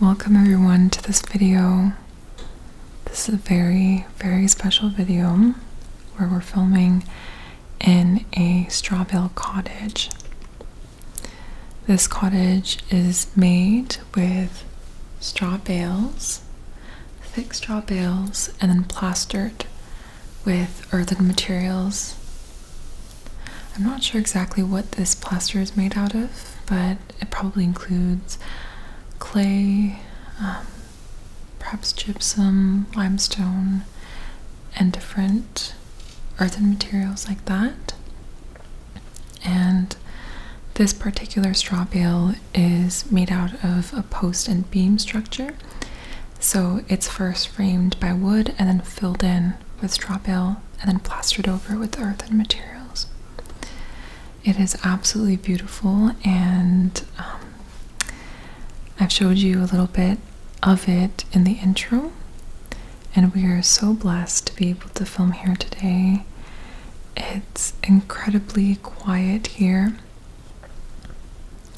Welcome everyone to this video. This is a very, very special video where we're filming in a straw bale cottage. This cottage is made with straw bales, thick straw bales, and then plastered with earthen materials I'm not sure exactly what this plaster is made out of, but it probably includes clay, um, perhaps gypsum, limestone, and different earthen materials like that. And this particular straw bale is made out of a post and beam structure. So it's first framed by wood and then filled in with straw bale and then plastered over with earthen materials. It is absolutely beautiful, and um, I've showed you a little bit of it in the intro. And we are so blessed to be able to film here today. It's incredibly quiet here.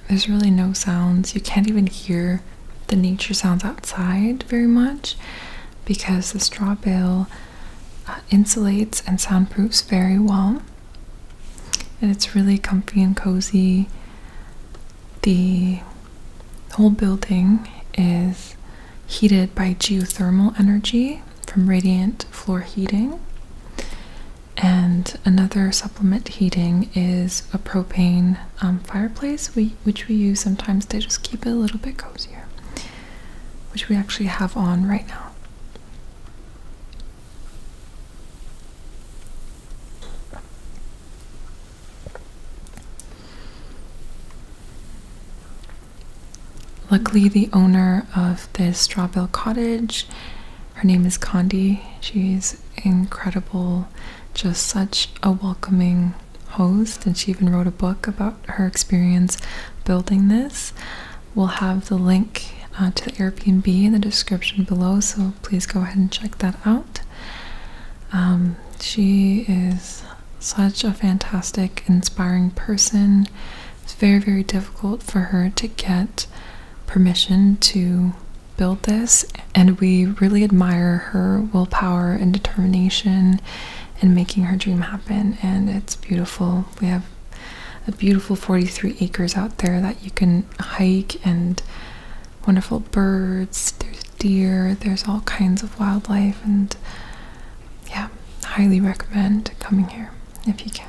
There's really no sounds. You can't even hear the nature sounds outside very much because the straw bale uh, insulates and soundproofs very well. And it's really comfy and cozy. The whole building is heated by geothermal energy from radiant floor heating. And another supplement heating is a propane um, fireplace, we, which we use sometimes to just keep it a little bit cozier, which we actually have on right now. Luckily, the owner of this Strawbill Cottage, her name is Condi. She's incredible, just such a welcoming host, and she even wrote a book about her experience building this. We'll have the link uh, to the Airbnb in the description below, so please go ahead and check that out. Um, she is such a fantastic, inspiring person. It's very, very difficult for her to get permission to build this, and we really admire her willpower and determination and making her dream happen. And it's beautiful. We have a beautiful 43 acres out there that you can hike and wonderful birds. There's deer, there's all kinds of wildlife. And yeah, highly recommend coming here if you can.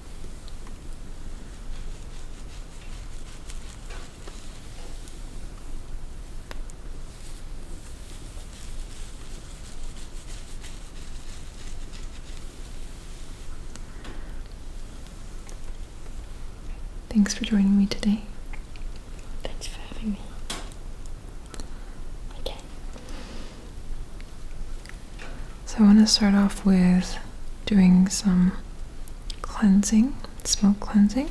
Thanks for joining me today. Thanks for having me. Okay. So I want to start off with doing some cleansing, smoke cleansing.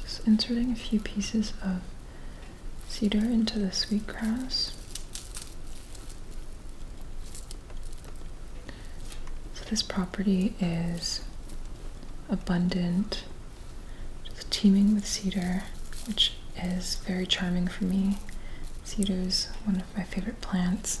Just inserting a few pieces of cedar into the sweetgrass. So this property is abundant just teeming with cedar, which is very charming for me. Cedar is one of my favorite plants.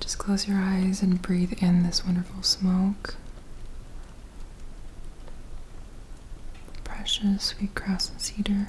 Just close your eyes and breathe in this wonderful smoke. Precious, sweet grass, and cedar.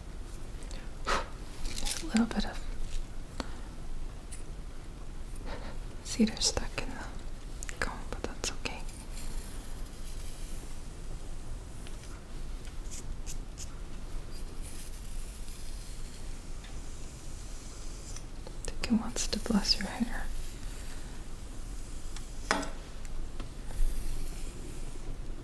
Just a little bit of cedar stuck in the comb, but that's okay. I think it wants to bless your hair.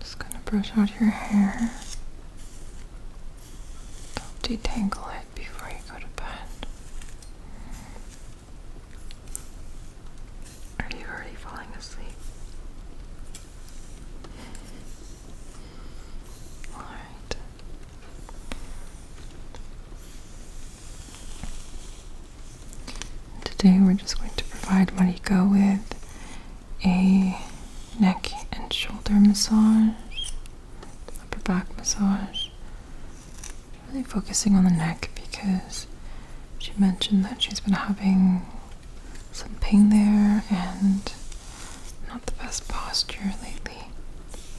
Just gonna brush out your hair. detangle it before you go to bed. Are you already falling asleep? Alright. Today we're just going to provide Mariko with a neck and shoulder massage, upper back massage. Really focusing on the neck because she mentioned that she's been having some pain there and not the best posture lately.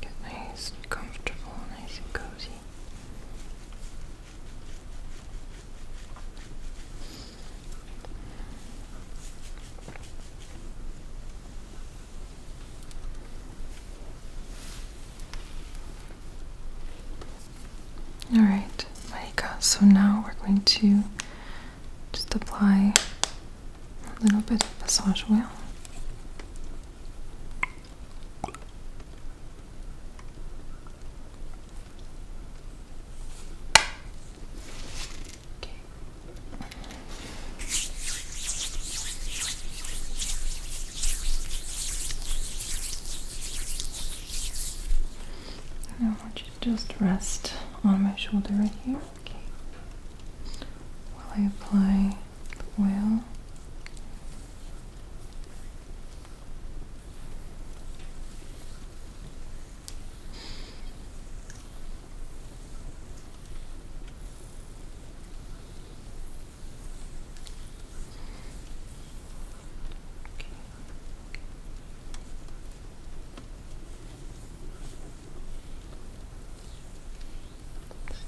get nice comfortable, nice and cozy. All right, Maika, so now we're going to just apply a little bit of massage oil. Okay. And I want you to just rest on my shoulder right here. Okay. While I apply the oil.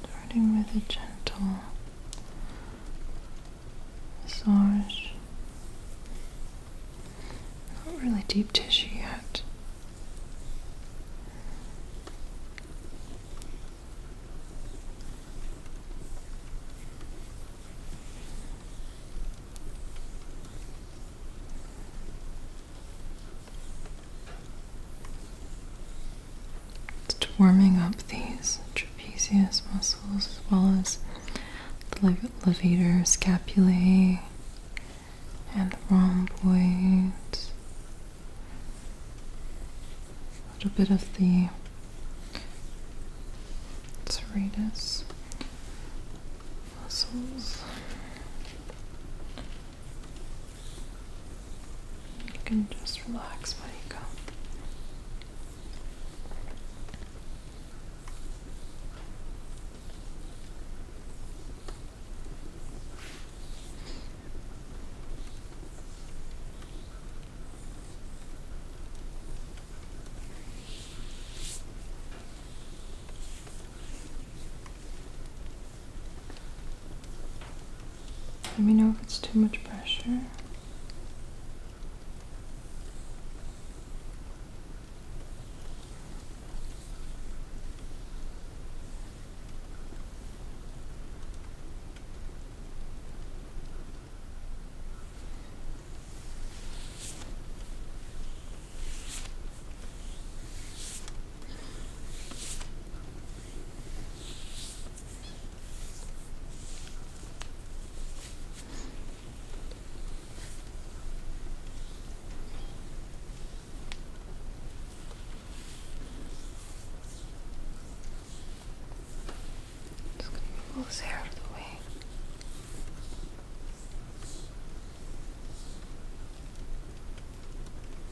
Starting with a gentle massage. Not really deep tissue yet. It's warming up these trapezius muscles as well as the levator, scapulae, and the rhomboids. A little bit of the serratus muscles. You can just relax while you go. Let me know if it's too much pressure. Just gonna move this hair out of the way.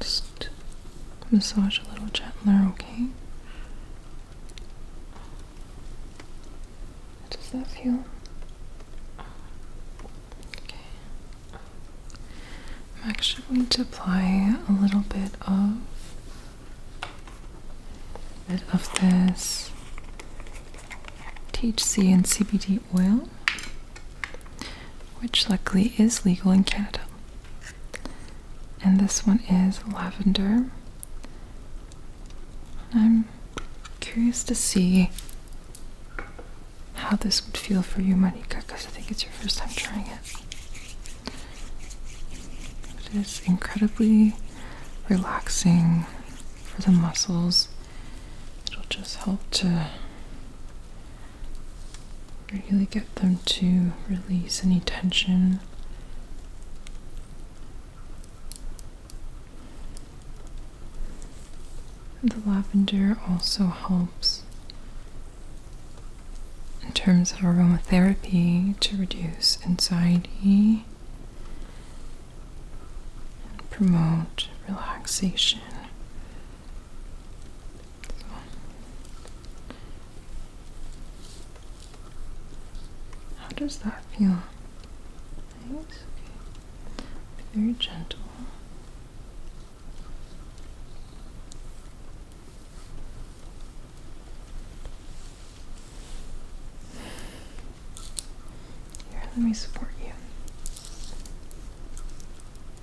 Just massage a little gentler, okay? How does that feel? Okay. I'm actually going to apply a little bit of bit of this THC and CBD oil which luckily is legal in Canada. And this one is lavender. I'm curious to see how this would feel for you, Monica. because I think it's your first time trying it. It is incredibly relaxing for the muscles it'll just help to really get them to release any tension. The lavender also helps in terms of aromatherapy to reduce anxiety and promote relaxation. How does that feel? Nice. Okay. very gentle. Here, let me support you.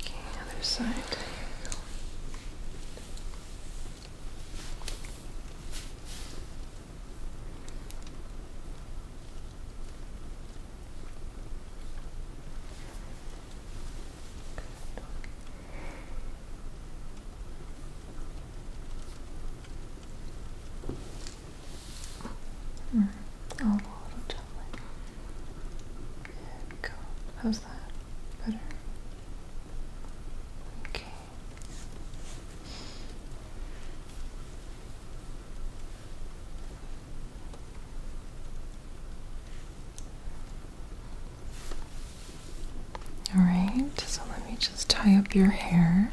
Okay, other side. Good. Mm. Oh, How's that? Better? Okay. All right, so let me just tie up your hair.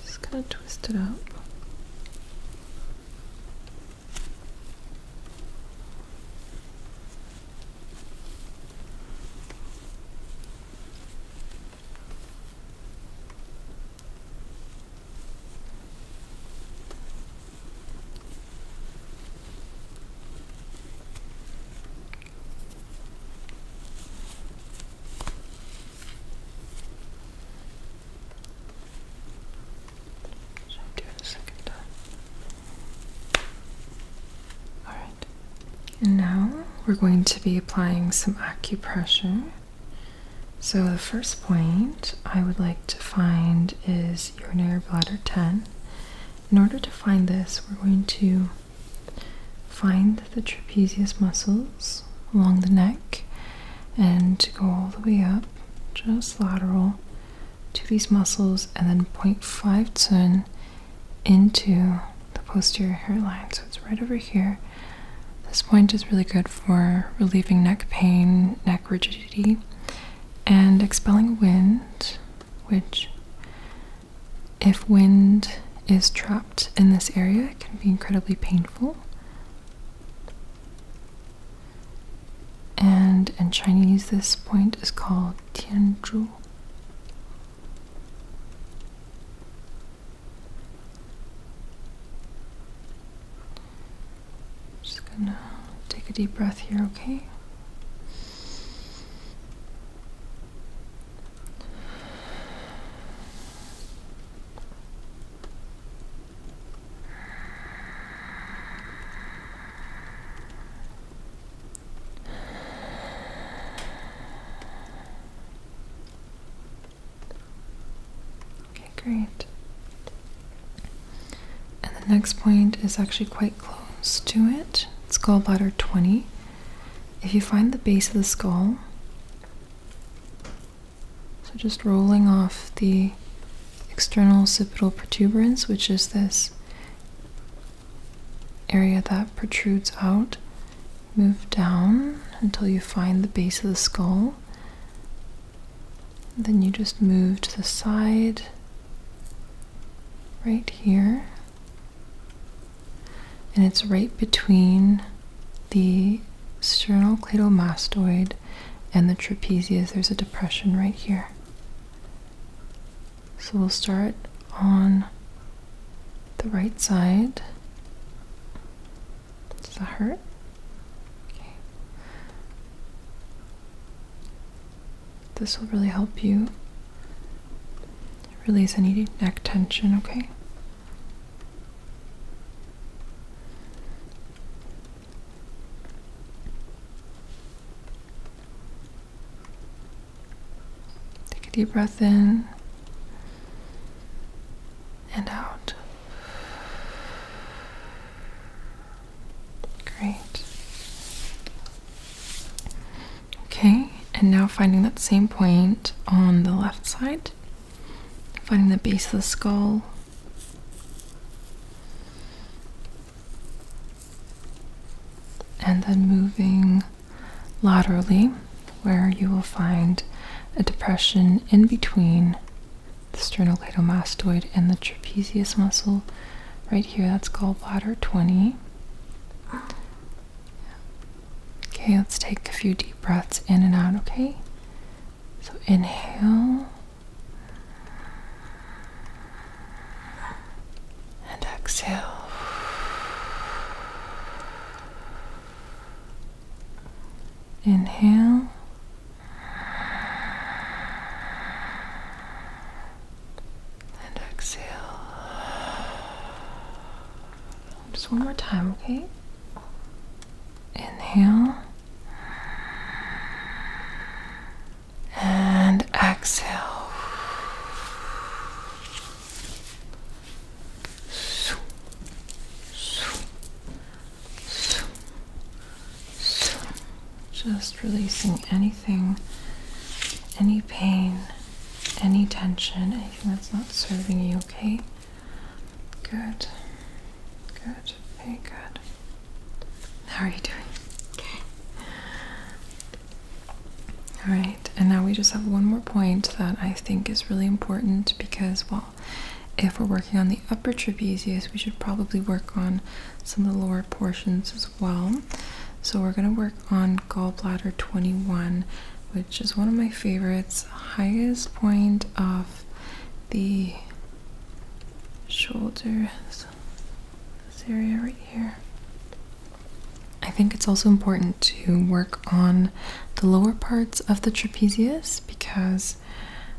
Just kind of twist it up. So I'm doing a second time. Alright. And now we're going to be applying some acupressure. So the first point I would like to find is urinary bladder 10. In order to find this, we're going to find the trapezius muscles along the neck and to go all the way up, just lateral to these muscles, and then 0.5 turn into the posterior hairline. So it's right over here. This point is really good for relieving neck pain, neck rigidity, and expelling wind, which, if wind is trapped, in this area it can be incredibly painful. And in Chinese, this point is called Tianzhu. Just gonna take a deep breath here, okay? Okay, great. And the next point is actually quite close to it. It's gallbladder 20. If you find the base of the skull, so just rolling off the external occipital protuberance, which is this area that protrudes out. Move down until you find the base of the skull. Then you just move to the side right here. And it's right between the sternocleidomastoid and the trapezius. There's a depression right here. So we'll start on the right side. Does that hurt? Okay. This will really help you release any neck tension, okay? Take a deep breath in and out. Great. Okay, and now finding that same point on the left side finding the base of the skull. And then moving laterally, where you will find a depression in between the sternocleidomastoid and the trapezius muscle. Right here, that's gallbladder 20. Okay, let's take a few deep breaths in and out, okay? So inhale and exhale. Inhale and exhale. Just one more time, okay? Inhale and exhale. Just releasing anything, any pain, any tension, anything that's not serving you, okay? Good. Good. Very good. How are you doing? Okay. All right. And now we just have one more point that I think is really important because, well, if we're working on the upper trapezius, we should probably work on some of the lower portions as well. So we're going to work on gallbladder 21, which is one of my favorites, highest point of the shoulders, this area right here. I think it's also important to work on the lower parts of the trapezius because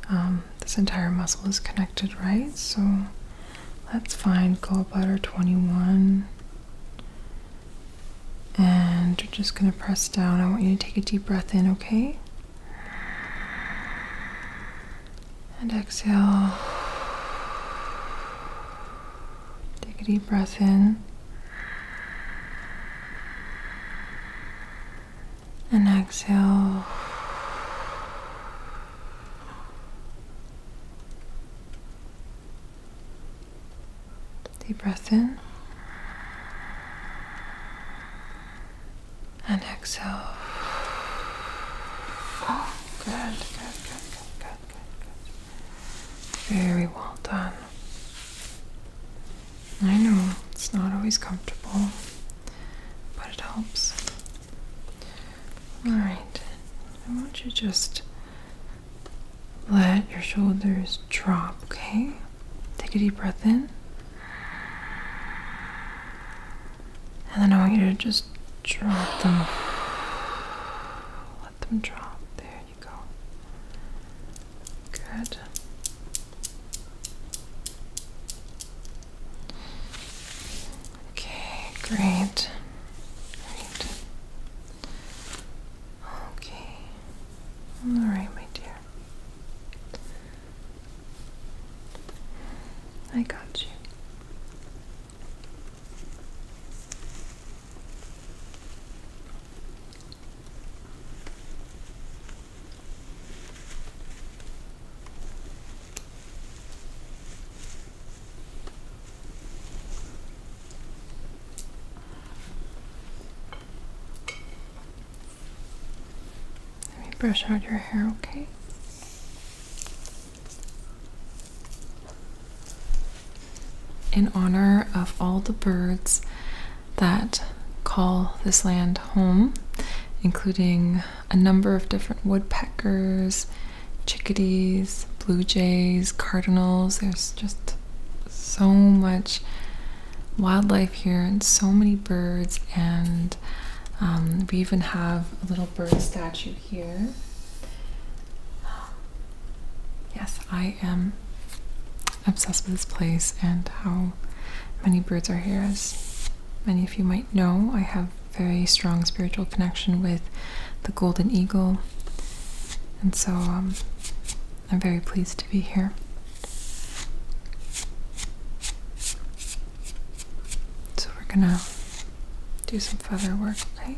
um, this entire muscle is connected, right? So let's find gallbladder 21. And you're just going to press down. I want you to take a deep breath in, okay? And exhale. Take a deep breath in. And exhale. Deep breath in and exhale. Good, good, good, good, good, good, good. Very well done. I know it's not always comfortable, but it helps. Alright, I want you to just let your shoulders drop, okay? Take a deep breath in. And then I want you to just drop them. Let them drop. There you go. Good. Okay, great. Great. Okay. All right, my dear. I got you. Let me brush out your hair, okay? In honor of all the birds that call this land home, including a number of different woodpeckers, chickadees, blue jays, cardinals, there's just so much wildlife here and so many birds and um, we even have a little bird statue here yes i am obsessed with this place and how many birds are here as many of you might know i have very strong spiritual connection with the golden eagle and so um, i'm very pleased to be here so we're gonna do some feather work, right?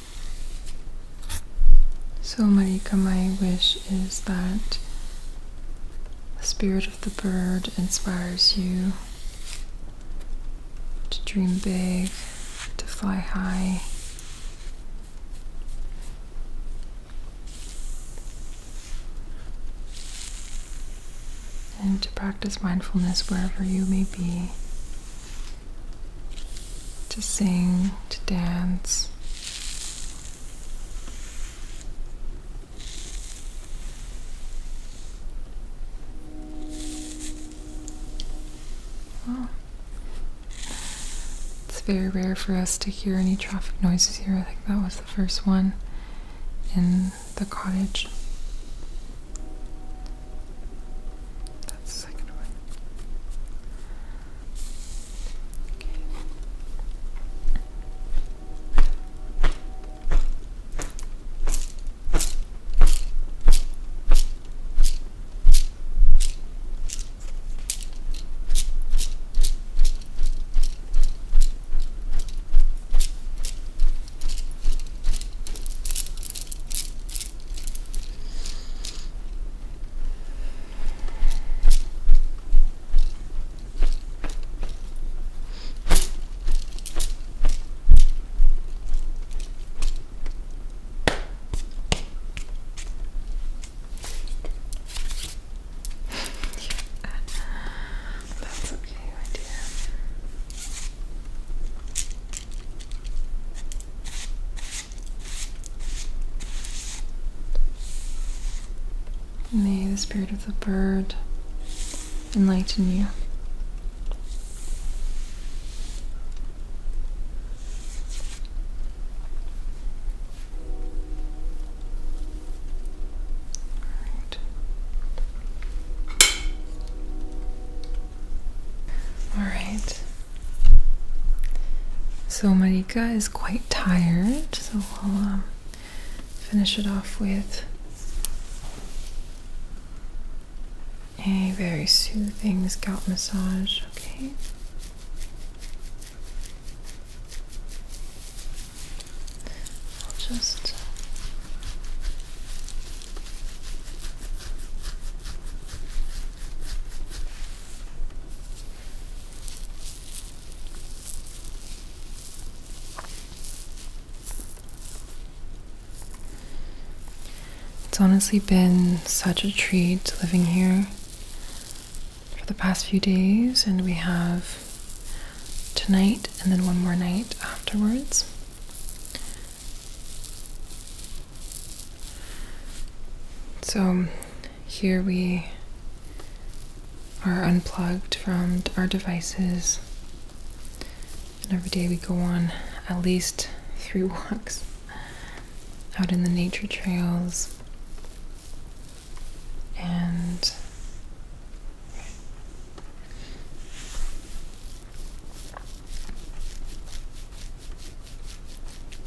So, Marika, my wish is that the spirit of the bird inspires you to dream big, to fly high. And to practice mindfulness wherever you may be, to sing, to dance, it's very rare for us to hear any traffic noises here. I think that was the first one in the cottage. That's the second one. Okay. That's okay, my dear. Okay. May the spirit of the bird enlighten you. Right. All right. So Marika is quite tired, so i will um, finish it off with a very soothing scalp massage, okay? I'll just uh, it's honestly been such a treat living here for the past few days, and we have tonight and then one more night afterwards. So here we are unplugged from our devices, and every day we go on at least three walks out in the nature trails and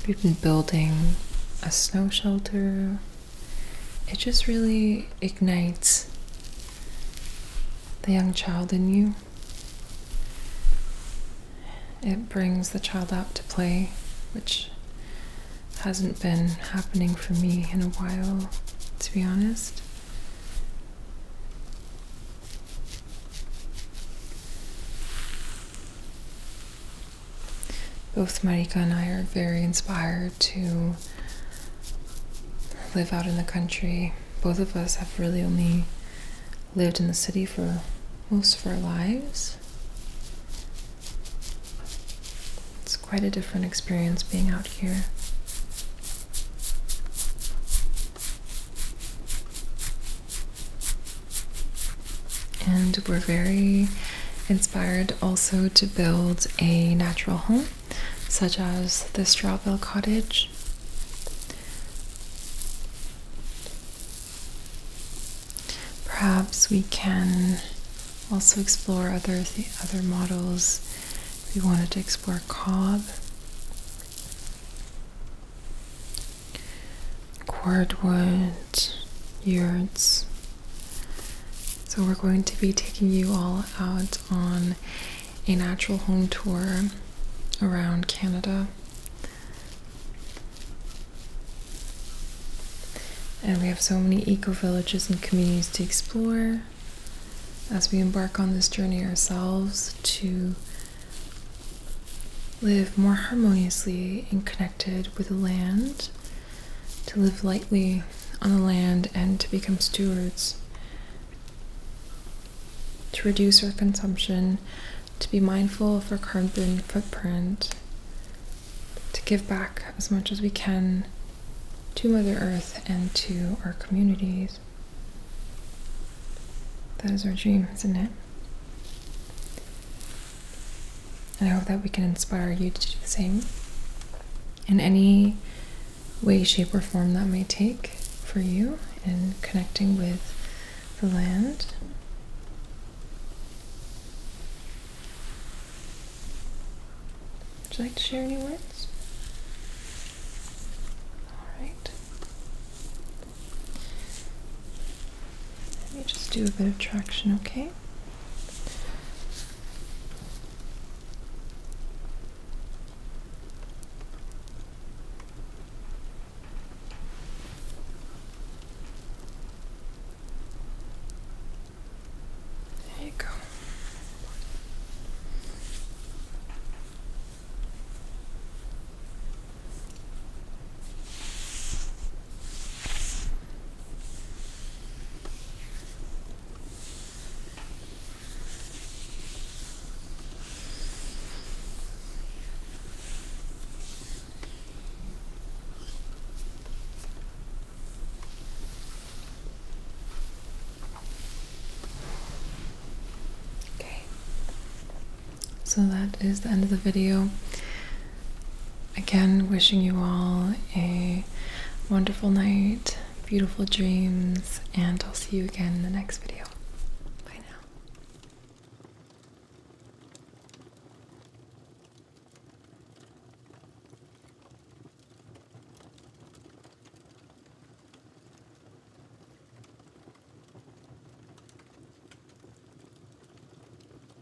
We've been building a snow shelter. It just really ignites the young child in you. It brings the child out to play, which hasn't been happening for me in a while, to be honest both Marika and I are very inspired to live out in the country. Both of us have really only lived in the city for most of our lives. It's quite a different experience being out here. And we're very inspired also to build a natural home, such as the Strawville Cottage. Perhaps we can also explore other the other models. We wanted to explore Cobb cordwood, yurts. So, we're going to be taking you all out on a natural home tour around Canada. And we have so many eco villages and communities to explore as we embark on this journey ourselves to live more harmoniously and connect with the land, to live lightly on the land, and to become stewards, to reduce our consumption, to be mindful of our carbon footprint, to give back as much as we can to Mother Earth and to our communities. That is our dream, isn't it? And I hope that we can inspire you to do the same in any way, shape, or form that may take for you in connecting with the land. Would you like to share any words? All right. Let me just do a bit of traction, okay? There you go. Okay, so that is the end of the video. Again, wishing you all a wonderful night, beautiful dreams, and I'll see you again in the next video. Bye now.